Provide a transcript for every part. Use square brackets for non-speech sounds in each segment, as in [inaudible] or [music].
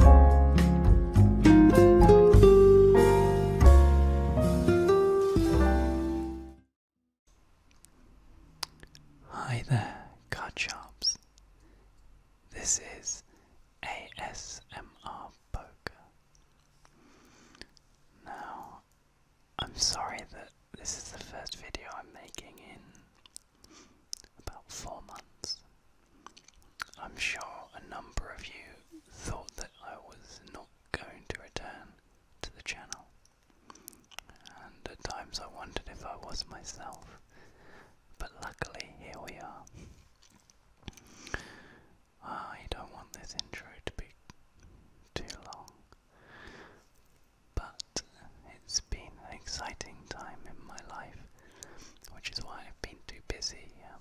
Hi there, card sharps. This is ASMR Poker. Now, I'm sorry that this is the first video I'm making in about four months. I'm sure a number of you thought that I was not going to return to the channel, and at times I wondered if I was myself, but luckily here we are. I don't want this intro to be too long, but it's been an exciting time in my life which is why I've been too busy um,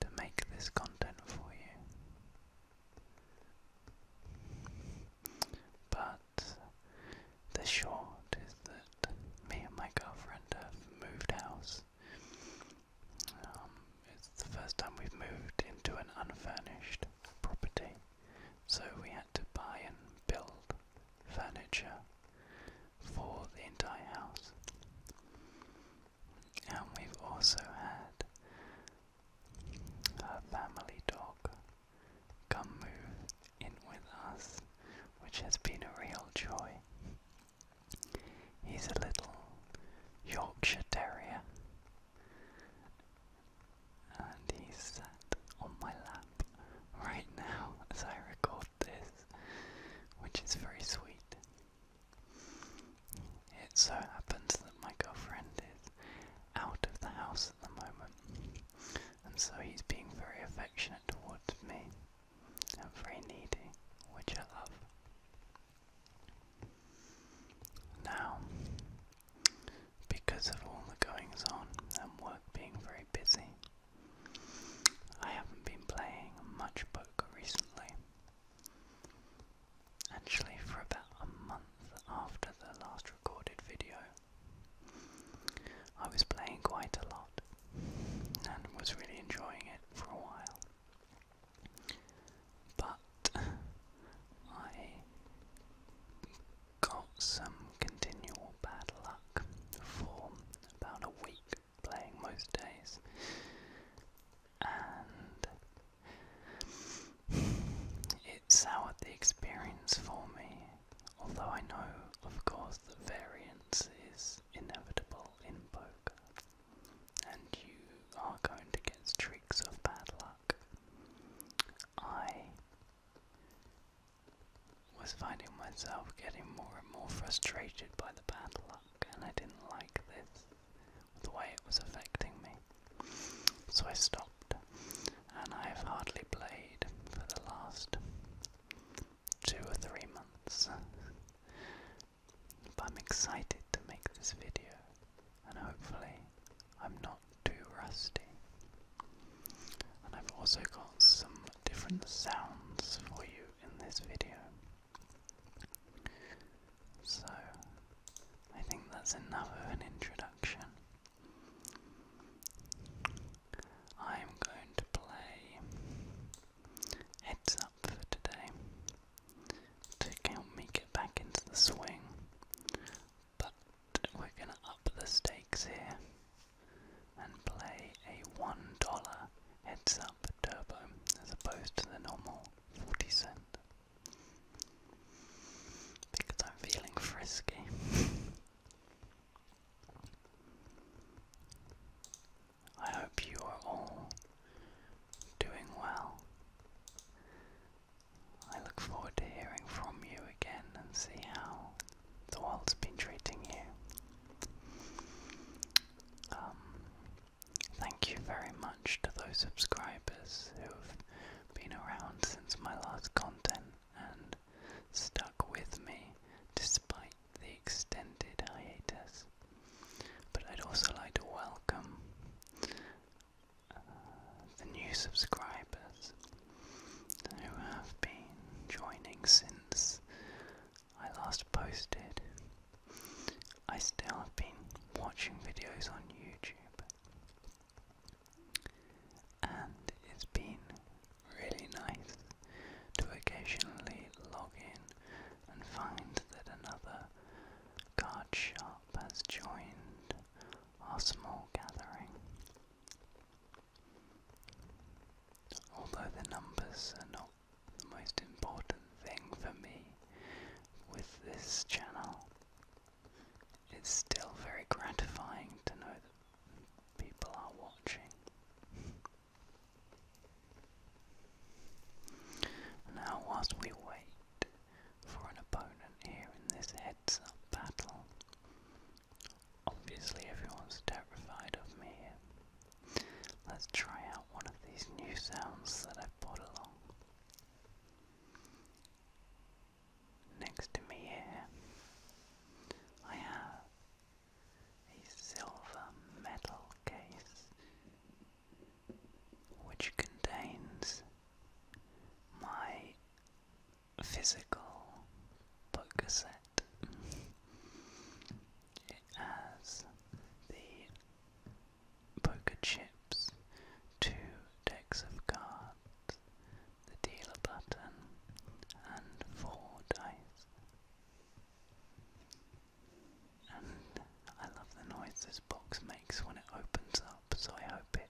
to make this content for you. But the short is that me and my girlfriend have moved house. Um, it's the first time we've moved into an unfurnished property, so we had to buy and build furniture for the entire house. And we've also had her family dog come move in with us, which has been a real joy. He's a little Yorkshire Terrier, and he's sat on my lap up right now as I record this, which is very sweet. It so happens that my girlfriend is out of the house at the moment, and so he's being very affectionate towards me and very needy, which I love. Now, because of all the goings on and work being very busy, I haven't been playing much poker recently. Actually, for about a month after the last recorded video, I was playing quite a lot and was really enjoying it for a while. But I got some continual bad luck for about a week playing most days. And it soured the experience for me, although I know, of course, the variance is inevitable in poker, and you are going to get streaks of bad luck. I was finding myself getting more and more frustrated by the bad luck, and I didn't like this, the way it was affecting me. So I stopped, and I've hardly played for the last two or three months. but I'm excited to make this video, and hopefully, I'm not too rusty. And I've also got some different sounds for you in this video. So, I think that's enough of an introduction. I'm going to play Heads Up for today to help me get back into the swing, but we're going to up the stakes here and play a $1 heads up turbo as opposed to the normal 40 cent. Because I'm feeling frisky. I hope you are all doing well. I look forward to hearing from you again and see how the world's been treating you. Um, thank you very much to those subscribers who have been around since my last content and stuck with me despite the extended hiatus. But I'd also like to welcome uh, the new subscribers who have been joining since I last posted. I still have been watching videos on YouTube, and it's been really nice to occasionally log in and find that another card shop has joined our small gathering. Although the numbers are not the most important thing for me with this channel, it's still very gratifying to know that people are watching. Now, whilst we wait for an opponent here in this heads up battle, Obviously, everyone's terrified of me. Let's try out one of these new sounds that i brought along. Next to me here, I have a silver metal case which contains my physical book cassette as the poker chips, two decks of cards, the dealer button, and four dice. And I love the noise this box makes when it opens up, so I hope it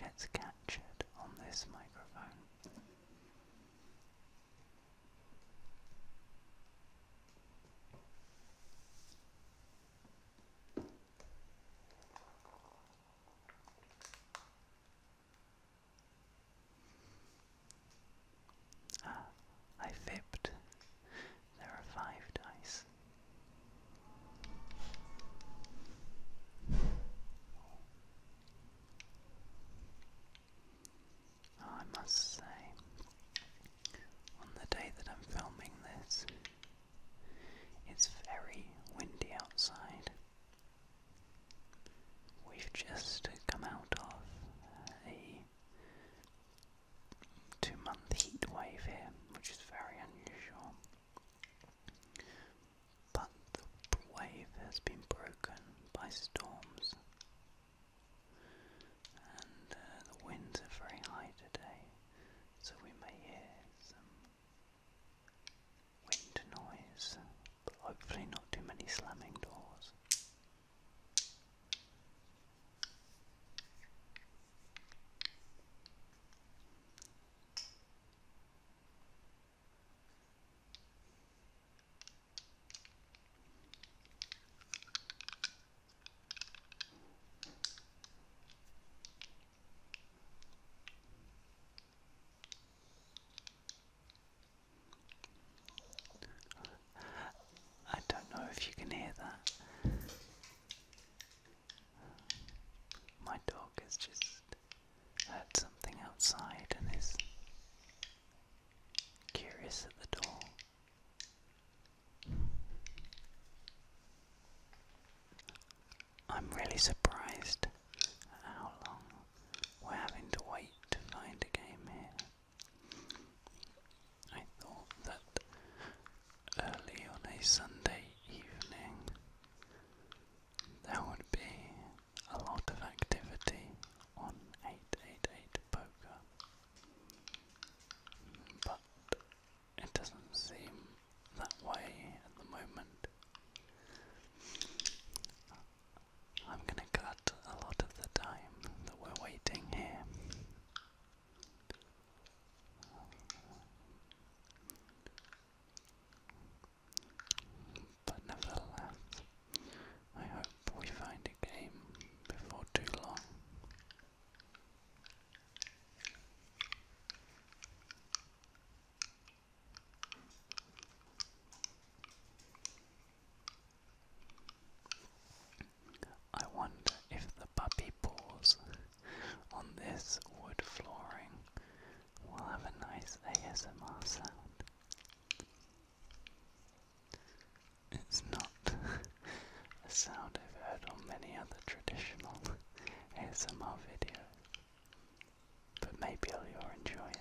gets captured on this microphone. Ah, I flipped. There are five dice. Oh, I must say, on the day that I'm filming this, it's very windy outside. We've just come out of a two month heat wave here, which is very unusual. But the wave has been broken by storms and uh, the winds are very high today, so we may hear some wind noise, but hopefully not too many slamming doors. I don't know if you can hear that. My dog has just heard something outside and is Curious at the door. I'm really surprised how long we're having to wait to find a game here. I thought that early on a Sunday evening there would be a lot of activity on 888 poker, but it doesn't seem that way at the moment. I'm going to cut a lot of the time that we're waiting here but nevertheless, I hope we find a game before too long. I wonder if the puppy paws on this wood flooring will have a nice ASMR sound. It's not [laughs] a sound I've heard on many other traditional ASMR [laughs] videos, but maybe you'll enjoy it.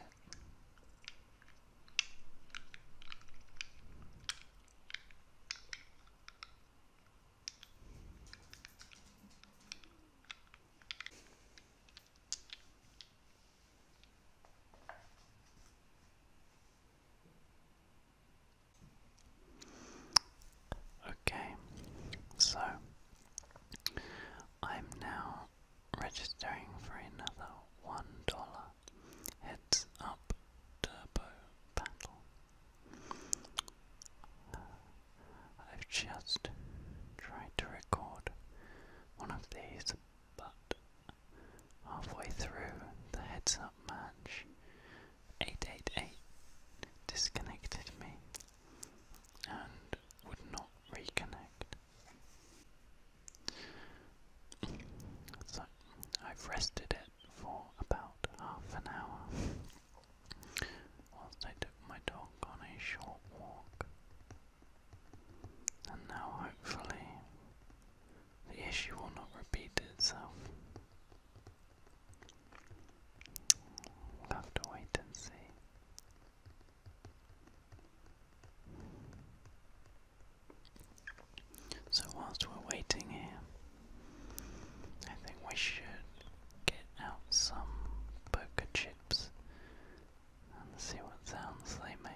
Okay, so I'm now registering for another $1 heads up turbo battle. I've just tried to record one of these, but halfway through the heads up match, 888 disconnected me and would not reconnect. So I've rested it for about half an hour whilst I took my dog on a short walk. And now, hopefully, the issue will not repeat itself. We'll have to wait and see. So, whilst we're waiting here, I think we should get out some poker chips and see what sounds they make.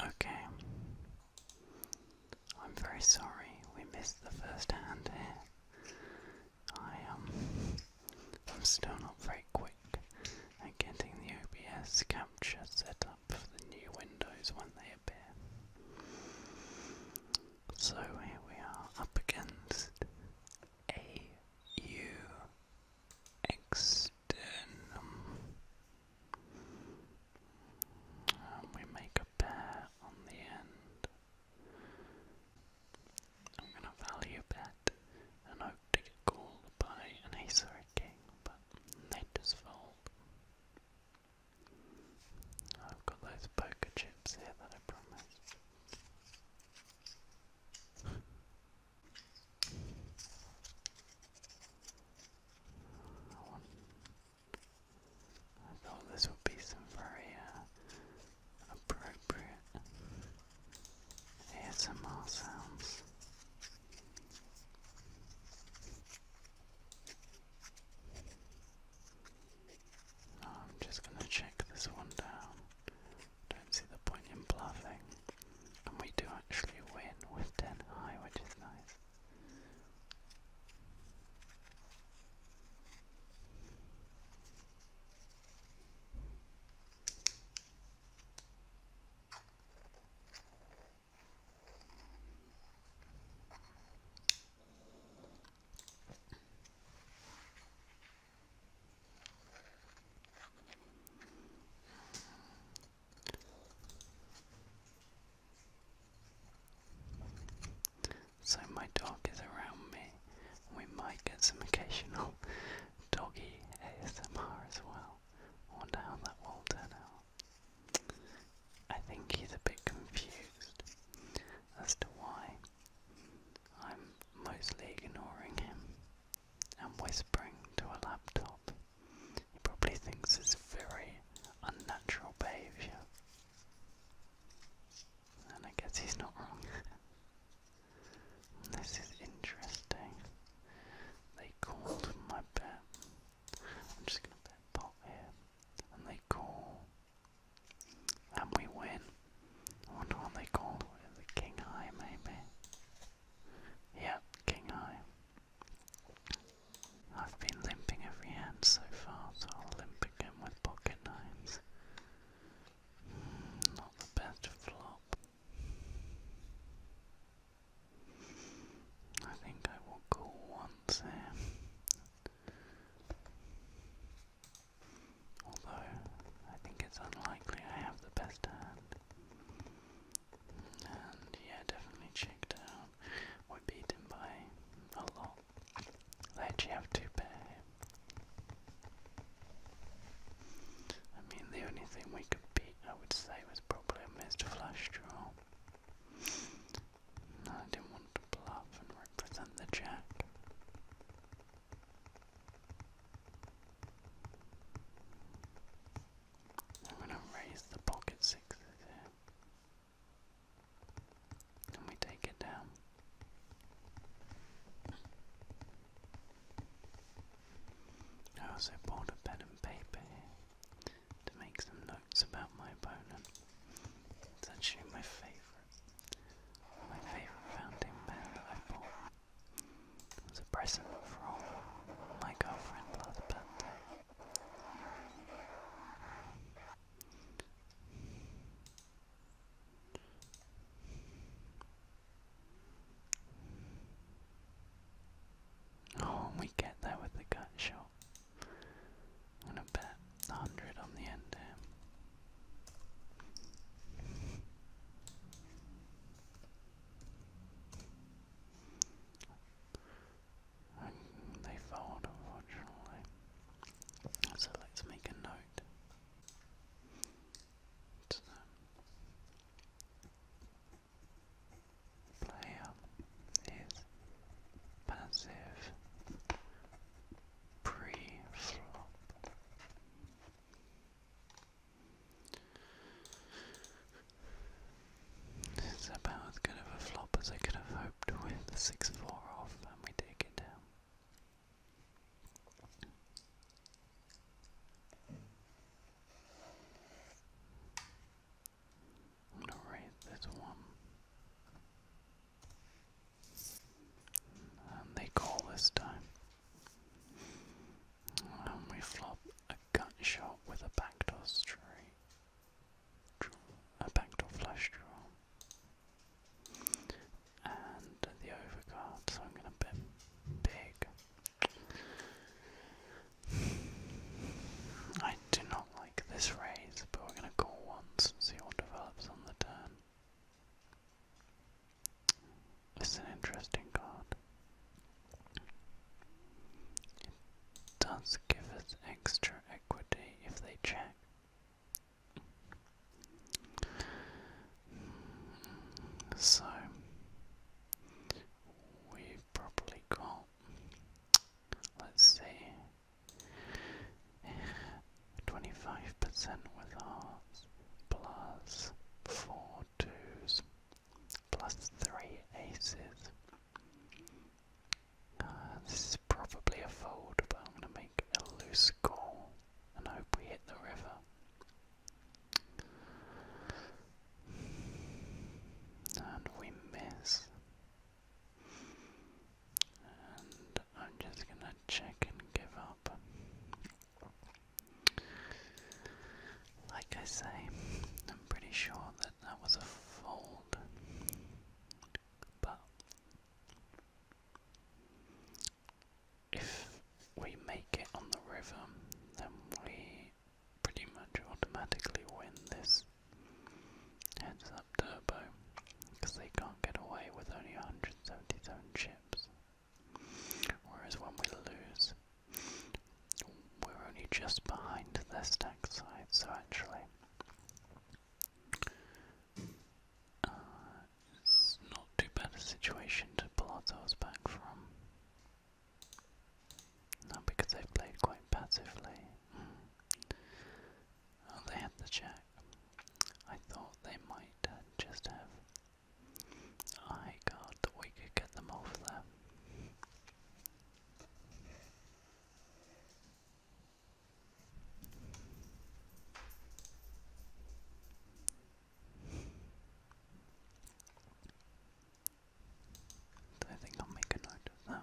Okay. I'm very sorry we missed the first hand here. I um I'm still not very quick at getting the OBS capture set up for the new windows when they appear. So here we are up against a U externum. And we make a pair on the end. I'm going to value bet and hope to get called by an ace or a king, but they just fold. I've got those poker chips here that I promised. I thought this would be some very uh, appropriate ASMR sounds. I'm just going to check this one down don't see the point in bluffing. And we do actually win with 10 high, which is nice. So, my dog is around me. We might get some occasional [laughs] doggy ASMR as well. I wonder how that will turn out. I think he's a bit confused as to why I'm mostly ignoring him and whispering to a laptop. He probably thinks it's very unnatural behaviour. And I guess he's not wrong. [laughs] this is interesting. They called my bet. I'm just gonna bet pot here. And they call. And we win. I wonder what they called. The king high, maybe. Yeah, king high. I've been limping every hand so far, so I'll limp again with pocket nines. Hmm, not the best flop. I think I will call once here although I think it's unlikely I have the best hand. And yeah, definitely Chicktown. We beat him by a lot. They actually have two pair. I mean, the only thing we could beat, I would say, was probably a missed flash draw. I didn't want to bluff and represent the jack. I'm going to raise the pocket sixes here. Can we take it down? I also bought a pen and paper here to make some notes about my opponent. It's actually my favourite, my favourite fountain pen that I bought. It's a present from my girlfriend last birthday. Oh, we get there with the gut I'm gonna bet a hundred on the end and they fold, unfortunately. So let's make a note. Um, player is passive pre-flop. It's about as good of a flop as I could have hoped with the 6 4 off, and we take it I'm gonna raise this one. And they call this time. And we flop a gut shot with a backdoor straight, a backdoor flush draw, and the overcard. So I'm going to bet big. I do not like this raise, but we're going to call once and see what develops on the turn. It's an interesting card. It does give us extra equity if they check. So, we probably got, let's see, 25% with hearts plus 4 twos plus three aces. Uh, this is probably a fold, but I'm going to make a loose call and hope we hit the river. And we miss. And I'm just going to check and give up. Like I say, I'm pretty sure that that was a fold, but if we make it on the river, then we pretty much automatically win this heads up turbo because they can't get away with only 177 ships. Whereas when we lose, we're only just behind their stack size, so actually, uh, it's not too bad a situation to pull ourselves back from. Not because they've played quite passively. Hmm. Oh, they had the check. I thought they might just have I God that we could get them off there. I think I'll make a note of that.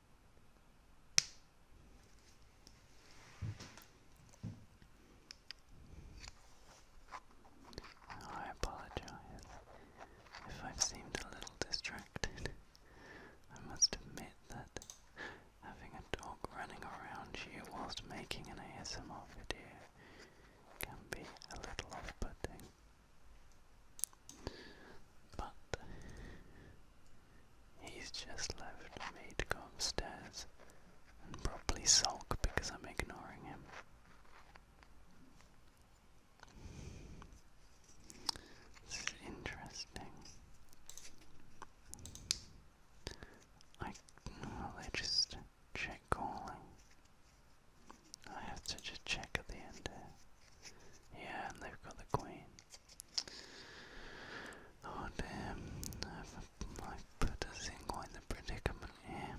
Oh, I apologize if I've seemed a little distracted. I must admit that having a dog running around you whilst making an ASMR video can be a little off putting. But He's just left me to go upstairs and probably sulk because I'm ignoring him. interesting. I well, just check calling. I have to just check at the end Yeah, they've got the queen. Oh damn! I've, put us in quite the predicament here.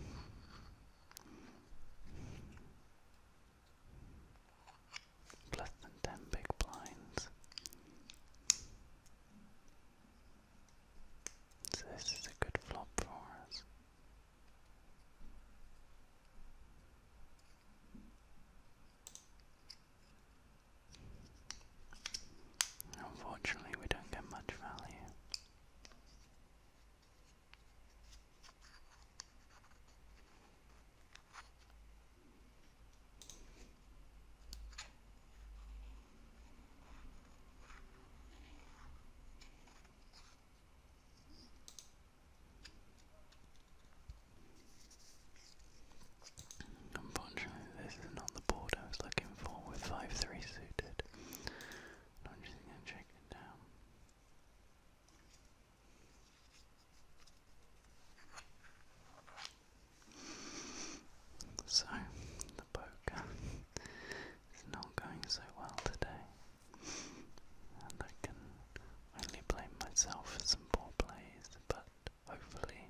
Plus than ten big blinds. this is a good flop for us. Unfortunately, we don't get much value. Unfortunately, this is not the board I was looking for with 5 3 suited. I'm just going to check it down. So, the poker is not going so well today, and I can only blame myself for some poor plays, but Hopefully,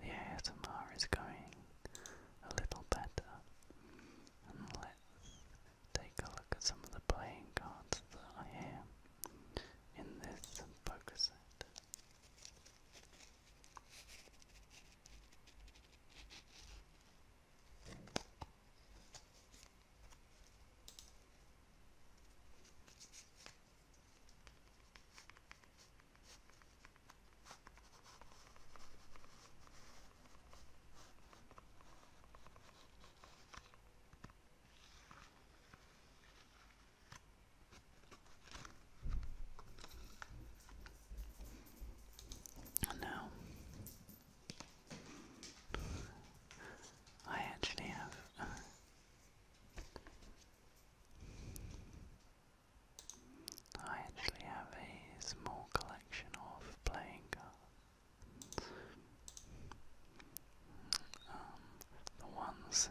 the ASMR is going a little better. And let's take a look at some of the playing cards that I have in this poker set. And now I actually have I actually have a small collection of playing cards. Um, the ones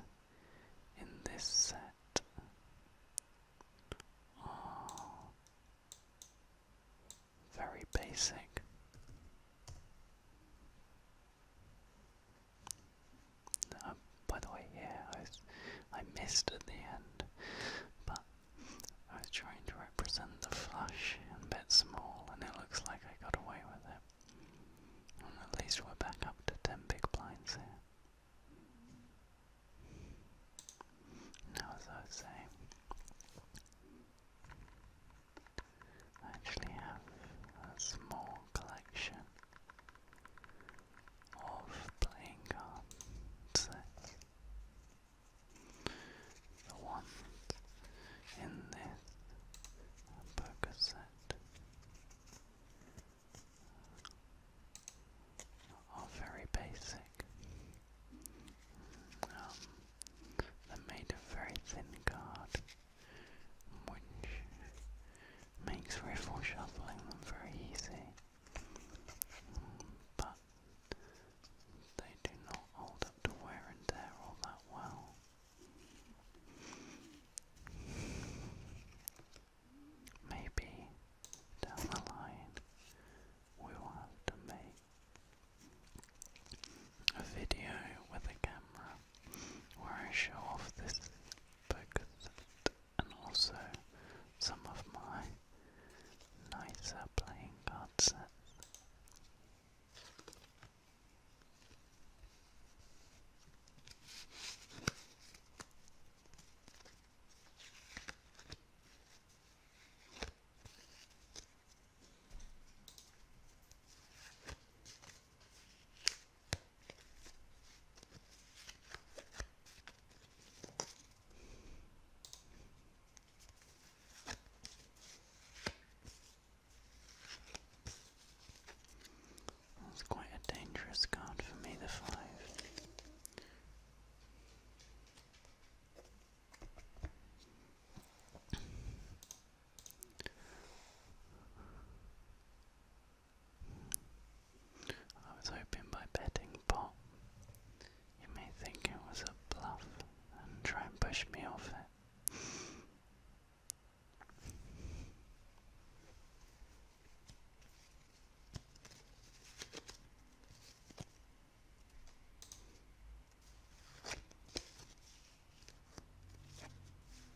in this set are very basic. Um, by the way, yeah, I, I missed at the end, but I was trying to represent the flush and bit small, and it looks like I got away with it. at least we're back up to 10 big blinds here. Now, as I was I actually have a small collection of playing cards. The ones in this poker set are very basic. Um, they're made of very thin card which makes riffle them very easy. But they do not hold up to wear and tear all that well. Maybe down the line we will have to make a video with a camera where I show off this focus and also some of my nicer playing card sets. That's quite a dangerous card for me, the five. I was hoping by betting pot, you may think it was a bluff and try and push me off it.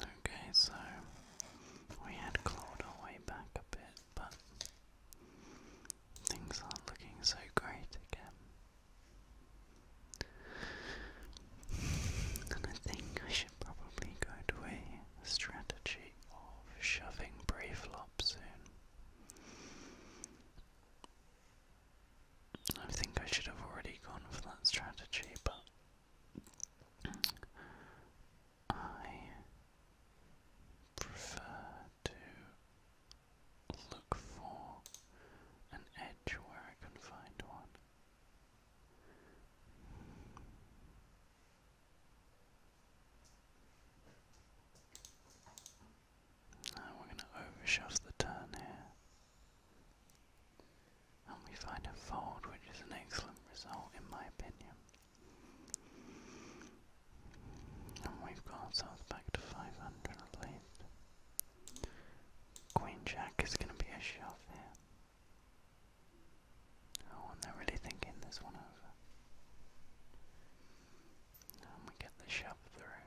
Okay, so we had clawed our way back a bit, but things aren't looking so great again. And I think I should probably go to a strategy of shoving pre-flop soon. I think I should have already gone for that strategy, but I prefer to look for an edge where I can find one. Now we're going to overshove the turn here and we find a fold, which is an excellent result in my opinion. And we've got ourselves back to 500 Queen Jack is going to be a shove here. Oh, and they're really thinking this one over. And we get the shove through.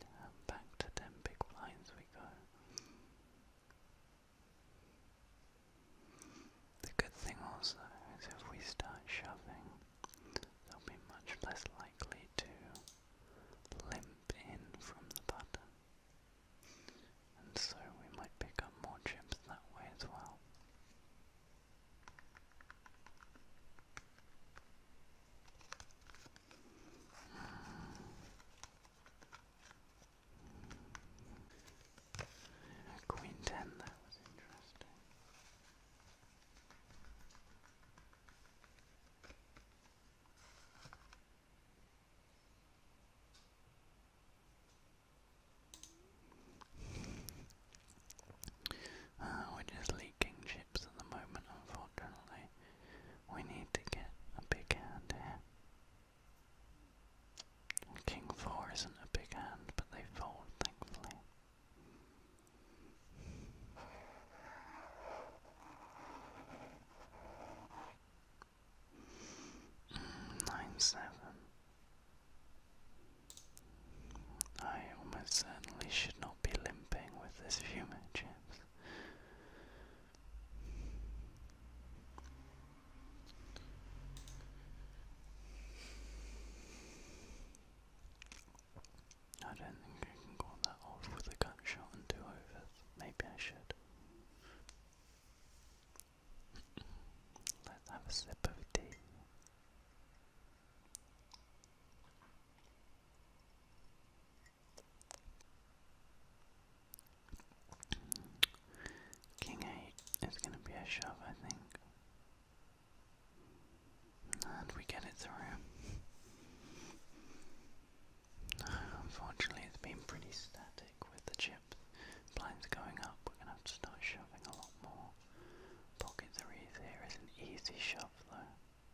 And back to 10 big blinds the good thing also is if we start shoving, they'll be much less likely to limp in from the button. And so we might pick up more chips that way as well. Queen 10, that was interesting. Uh, we're just leaking chips at the moment, unfortunately. We need to get a big hand here. King 4 isn't a big hand, but they fold, thankfully. Mm, nine seven. I almost certainly should not be limping with this fume chips. I don't think I can call that off with a gut shot and two overs. Maybe I should. Let's have a sip of tea. King eight is going to be a shove, I think. And we get it through. [sighs] Unfortunately, it's been pretty static with the chips. Blinds going up, we're going to have to start shoving a lot more. Pocket threes here is an easy shove, though.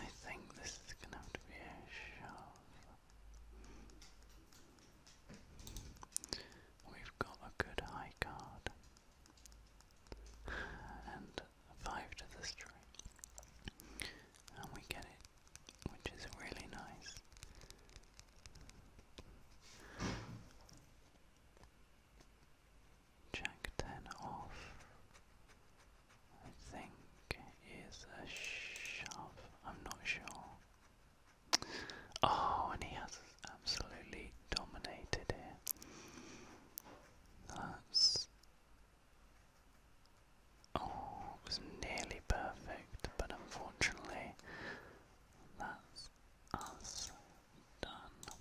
I think this is gonna have to be a shove. We've got a good high card. And five to the straight. And we get it, which is really nice. Jack ten off. I think is a shove. I'm not sure. Oh, and he has absolutely dominated here. That's. Oh, it was nearly perfect, but unfortunately, that's us done.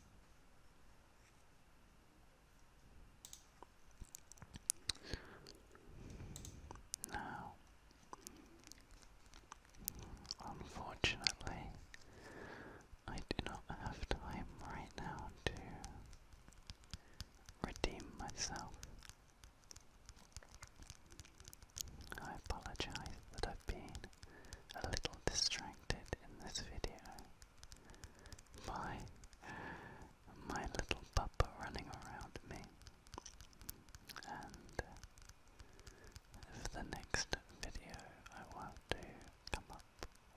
Now, unfortunately, I do not have time right now to redeem myself. I apologize that I've been a little distracted in this video by my little papa running around me. And uh, for the next video, I want to come up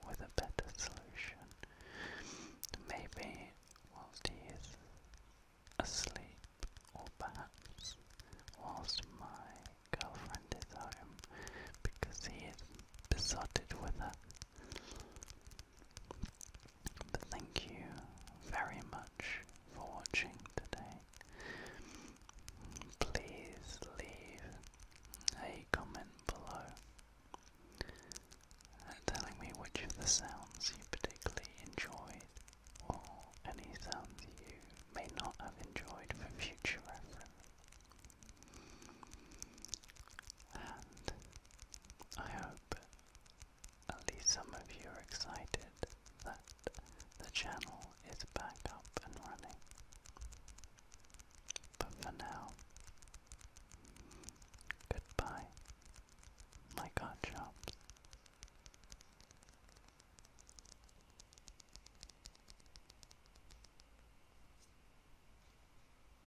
with a better solution. Maybe whilst he is asleep, or perhaps whilst my girlfriend is home, because he is besotted with her. But thank you very much for watching today. Please leave a comment below uh, telling me which of the sounds you particularly enjoyed or any sounds you may not have enjoyed for future reference. And I hope at least some of you are excited that the channel is back up and running. But for now, goodbye, my card shops.